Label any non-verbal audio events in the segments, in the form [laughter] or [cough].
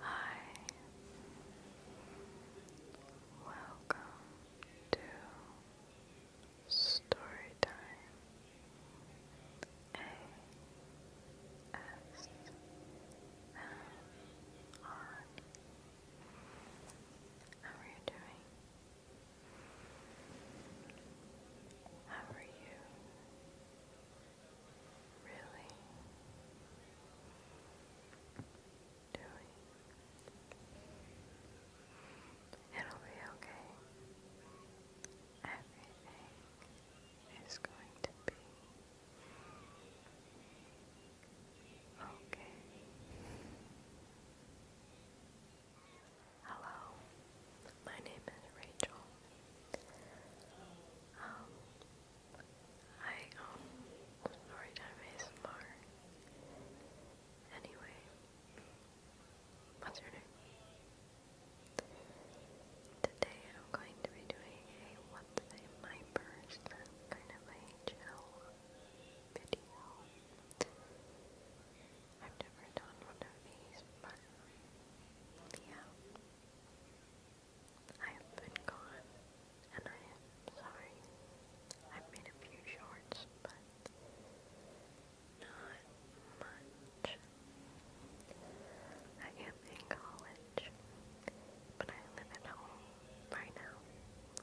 Hi, welcome to Storytime How are you doing? How are you really doing. It'll be okay. Everything is going to be okay. Hello, my name is Rachel. Um, I own um, Storytime ASMR. Anyway, what's your Today I'm going to be doing a what's a my person kind of a chill video. I've never done one of these, but yeah. I have been gone, and I am sorry. I've made a few shorts, but not much. I am in college, but I live at home right now.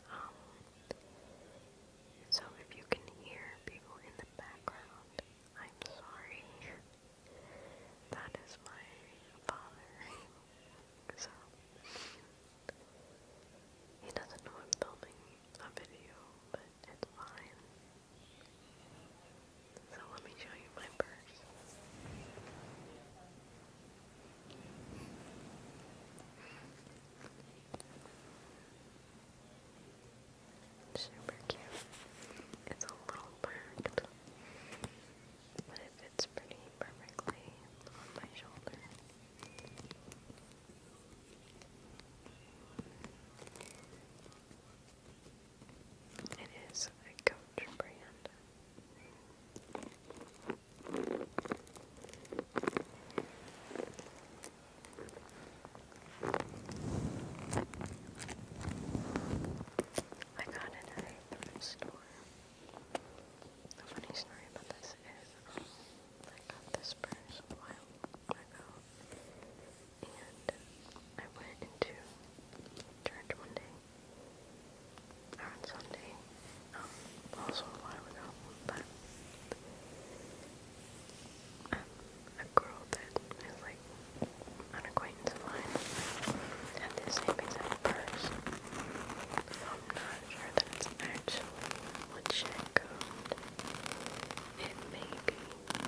Um, so if you can hear people in the background, I'm sorry. That is my father. so he doesn't know I'm filming a video, but it's fine. So let me show you my purse. Super cute. It's a little bird but it fits pretty perfectly on my shoulder. It is a Coach brand. I got it at a store. The funny story about this is I got this purse a while ago, and I went into church one day, or on Sunday, um, also a while ago, but um, a girl that is like an acquaintance of mine had the same exact purse. I'm not sure that it's actually legit gold. It may be, but I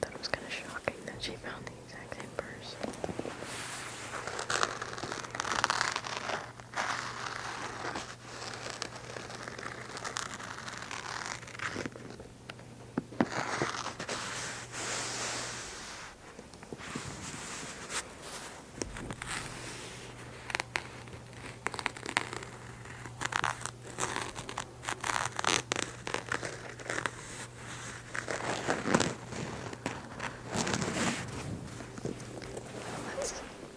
thought it was kind of shocking that she found the exact same purse. Let's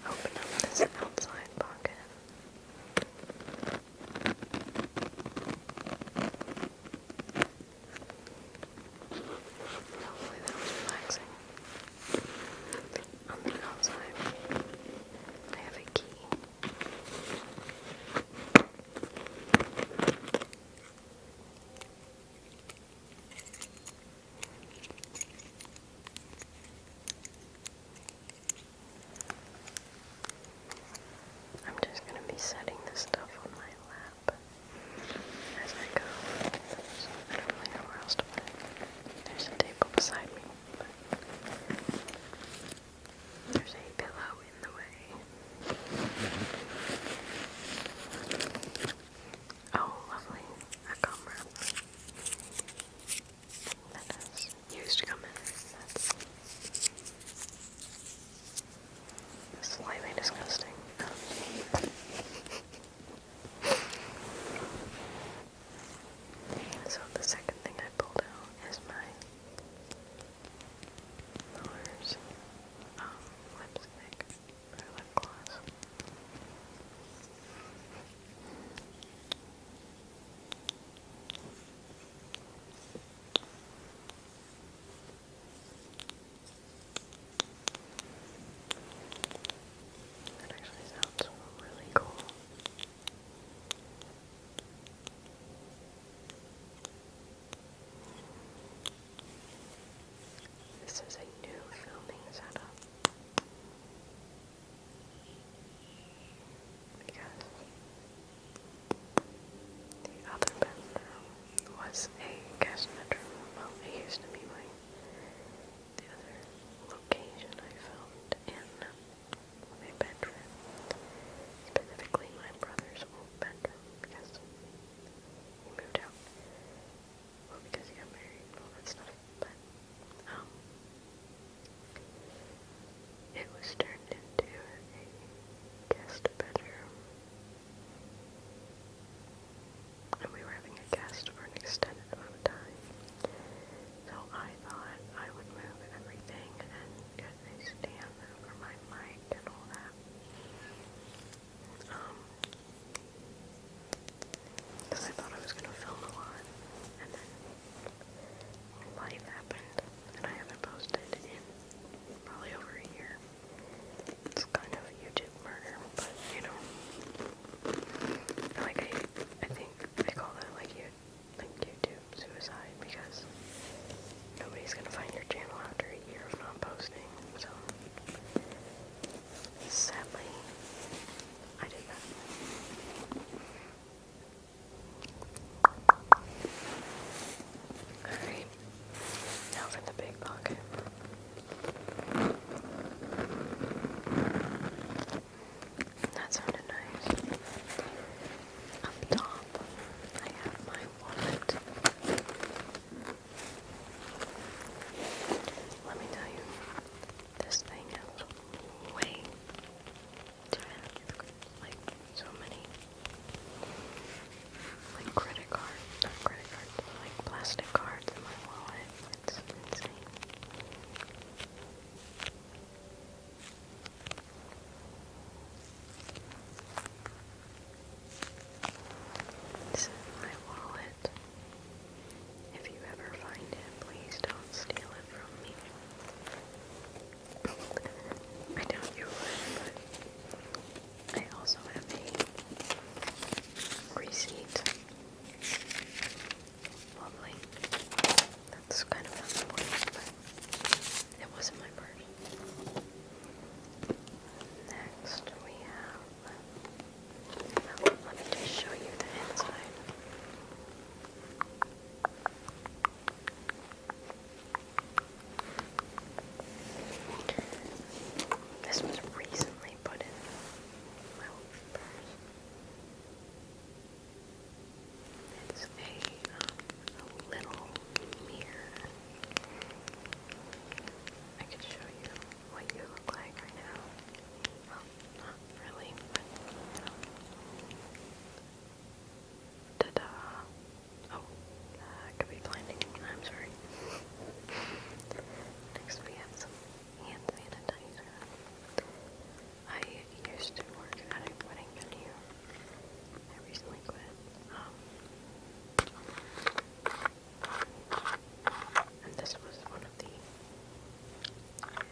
open up this outside pocket. Hopefully that was relaxing. On the outside, I have a key. I'm just going to be setting this stuff on my lap as I go. I don't really know where else to put it. There's a table beside me, but there's a pillow in the way. Oh, lovely. A gum wrap. used gum Slightly disgusting. so the second thing I pulled out is my Miller's um, lipstick or lip gloss. That actually sounds really cool. This is a new filming setup because the other bedroom was a castanet room. Well, it used to be my other location I found in my bedroom. Specifically my brother's old bedroom because he moved out. because he got married and all that stuff. But um, it was turned into a guest bedroom and we were having a guest for an extended amount of time. So I thought I would move everything and get a stand for my mic and all that. Um, I thought I was going to film a lot, and then life happened and I haven't posted in probably over a year. It's kind of YouTube murder, but you know, like I, I think I call that like you, like YouTube suicide because nobody's gonna find your channel after a year of not posting. So sadly, I did that. Alright, now for the big pocket. That sounded nice. Up top, I have my wallet. Let me tell you, this thing is way too Like so many like credit cards, credit cards, like plastic cards my wallet. This is my wallet. If you ever find it, please don't steal it from me. I doubt you but I also have a receipt. Lovely. That's kind of unimportant, it wasn't my purse. Next we have... let me just show you the inside. This was recently put in It's um, a, little mirror. I could show you what you look like right now. Well, not really, ta Oh, I could be blinding. I'm sorry. Next we have some hand sanitizer. I used to work at a wedding venue. I recently quit. Um, and this was one of the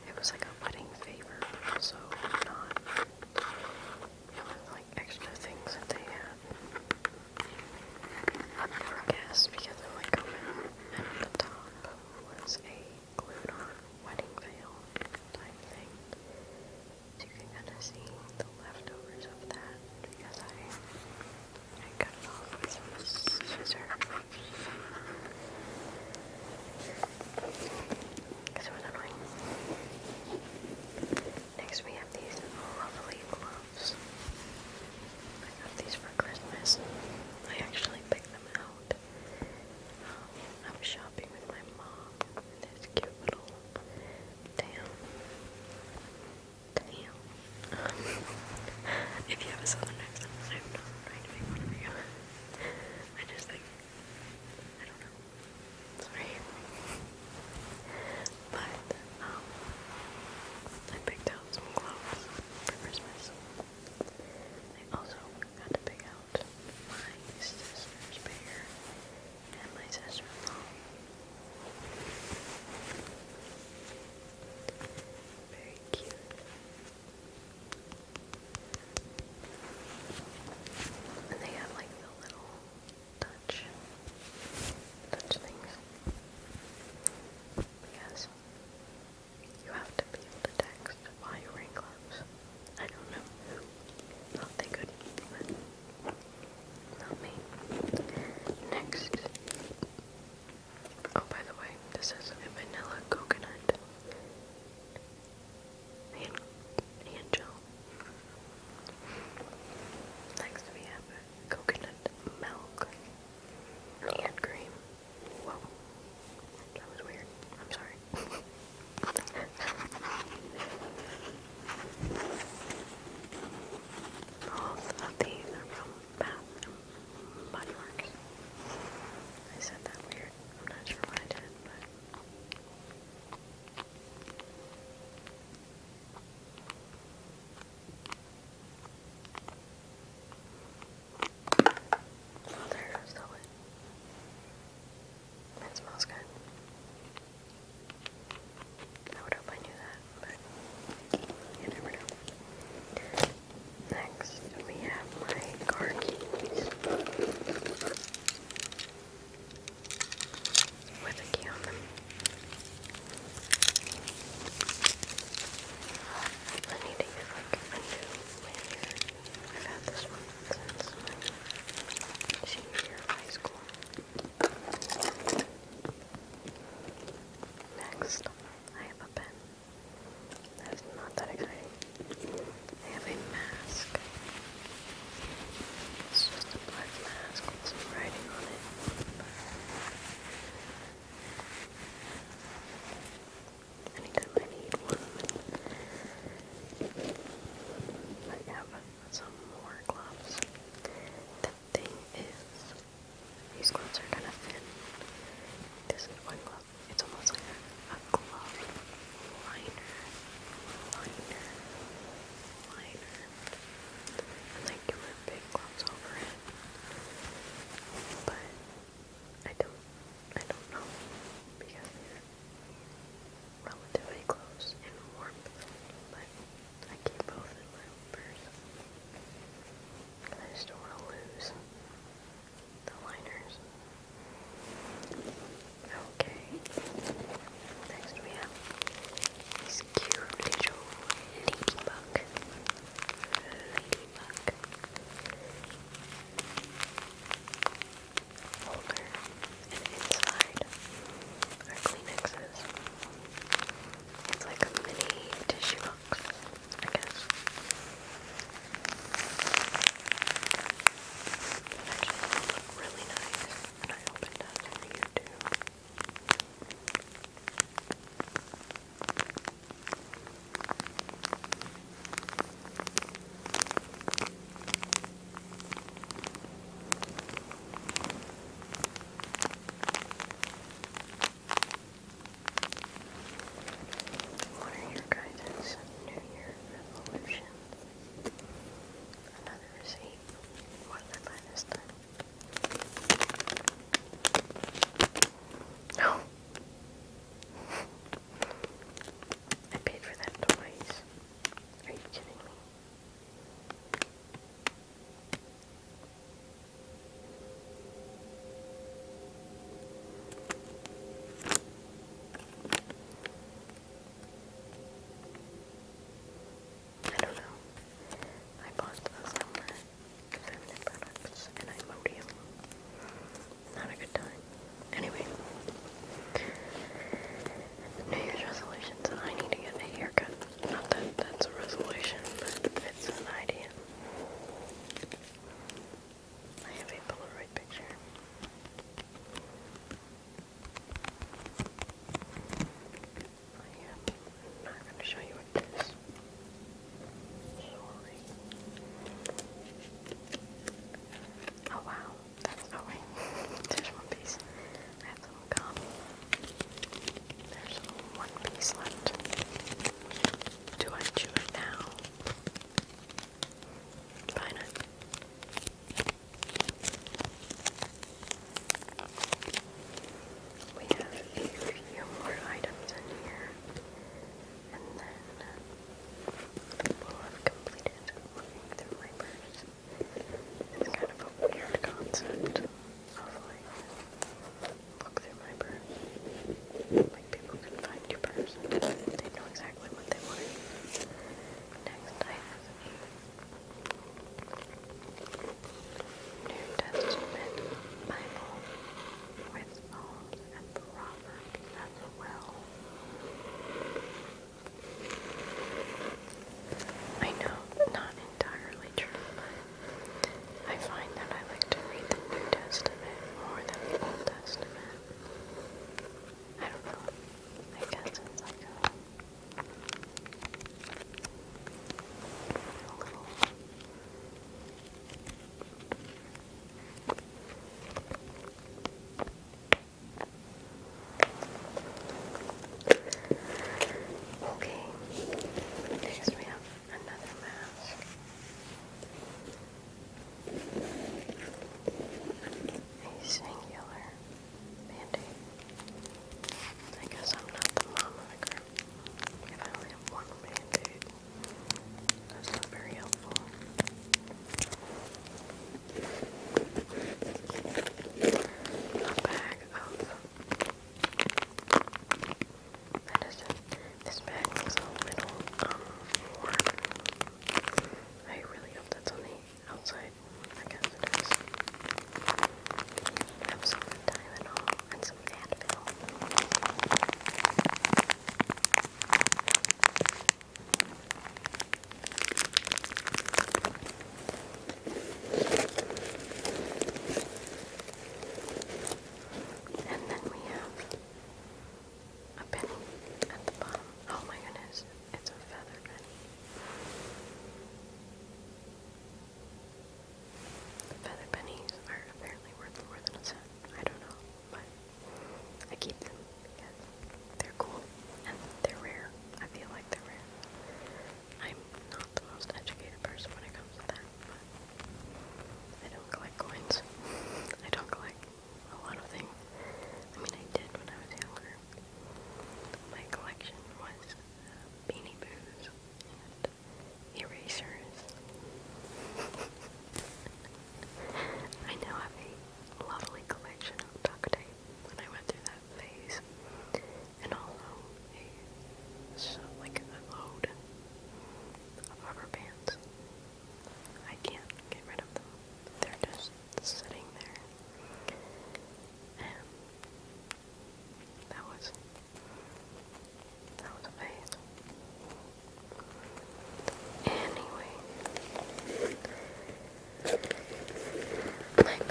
it was like a wedding favor, but not like extra things that they had for guests because they're like open and the top was a wedding veil type thing. So you can kind of see the leftovers of that because I cut off some scissors. Next we have these lovely gloves. I got these for Christmas. I actually picked them out. Um, I was shopping with my mom in this cute little town. Damn. Um, [laughs] if you have a southern accent, I'm not trying to make fun of you. [laughs] I just I don't know. Sorry. [laughs] but, um, I picked out some clothes for Christmas. I also got to pick out my sister's pair and my sister-in-law. Very cute. And they have like the little touch, touch things. Because you have to be able to text while gloves. I don't know who they could, but not me. Next. Oh, by the way, this is vanilla coconut hand, hand gel. Next we have coconut milk and cream. That was weird. I'm sorry. Both of these are from Bath and Body Works. I said that weird. I'm not sure what I did, Oh, It smells good. I would hope I knew that, but you never know. Next, we have my car keys with a key on them. I need a new I've had this one since my senior year of high school. Next, I have a pen. That's not that exciting. I have a mask. It's just a black mask with some writing on it. Anytime I need one, I have some more gloves. The thing is, these gloves are kind of thin. This one glove. It's almost like a glove liner. Liner like you would big gloves over it. But I don't I don't know because they relatively close in warmth, but I keep both in my purse. I just want to lose the liners. Okay. Next we have this cute little ladybug. Ladybug. Holder. And inside are Kleenexes. It's like a mini tissue box, I guess. Actually, look really nice. And you What are your guys' New Year resolutions? Another receipt. More lead this time. No! [laughs] I paid for that twice. Are you kidding me? I don't know. I bought those Feminine products, and I mowed you. Not a good time. Anyway. New Year's resolutions. I need to get a haircut. Not that that's a resolution, but it's an idea. I have a Polaroid picture. I am not going to show you this Sorry. Oh wow, that's oh There's one piece. I have some There's one piece left. Do I chew it now? Fine. We have a few more items in here, and then we have completed looking through my purse. It's kind of a weird concept of like, look through my purse. Like people can find your purse and they know exactly what they want. Next I New Testament Bible with Psalms and Proverbs as well. I know not entirely true, I find that I like to read the New Testament more than the Old Testament. I don't know. I guess it's like a a little Okay, next we have another mask. A singular Mandy, I guess I'm not the mom of the group. If I only have one band that's not very helpful. Oh, a bag of medicine. This bag looks a little um, I really hope that's only outside, I guess it is. Have some good and some Advil. And then we have a penny at the bottom. Oh my goodness, it's a feather penny. Feather pennies are apparently worth more than a cent. I don't know, but I keep them because they're cool and they're rare. I feel like they're rare. I'm not the most educated person when it comes to that, but I don't collect coins. [laughs] I don't collect a lot of things. I mean, I did when I was younger, my collection was uh, Beanie Boos and erasers. I now have a lovely collection of duct tape when I went through that phase, and also a, so like a load of rubber bands. I can't get rid of them. They're just sitting there. And that was that was amazing. Anyway, my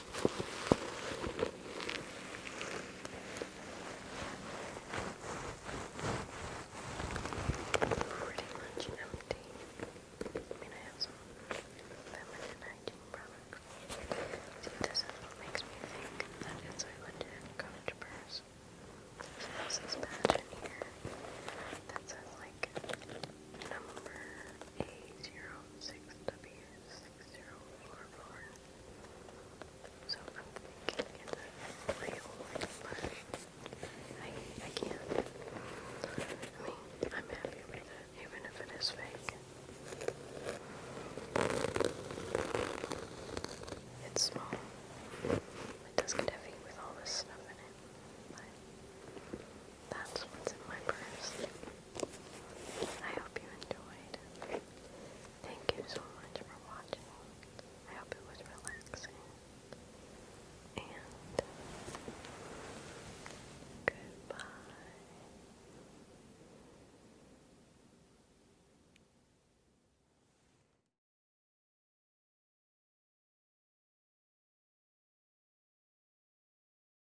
Pretty much empty. I mean, I have some feminine hygiene products. See, this is what makes me think that it's a legit cottage purse. So there's this badge in here that says, like, number A06W. 6044. So I'm it's way over I, I can't. I mean, I'm happy with it, even if it is fake. It's small. It does get heavy with all this stuff in it, but that's what's in my purse. I hope you enjoyed. Thank you so much for watching. I hope it was relaxing. And goodbye.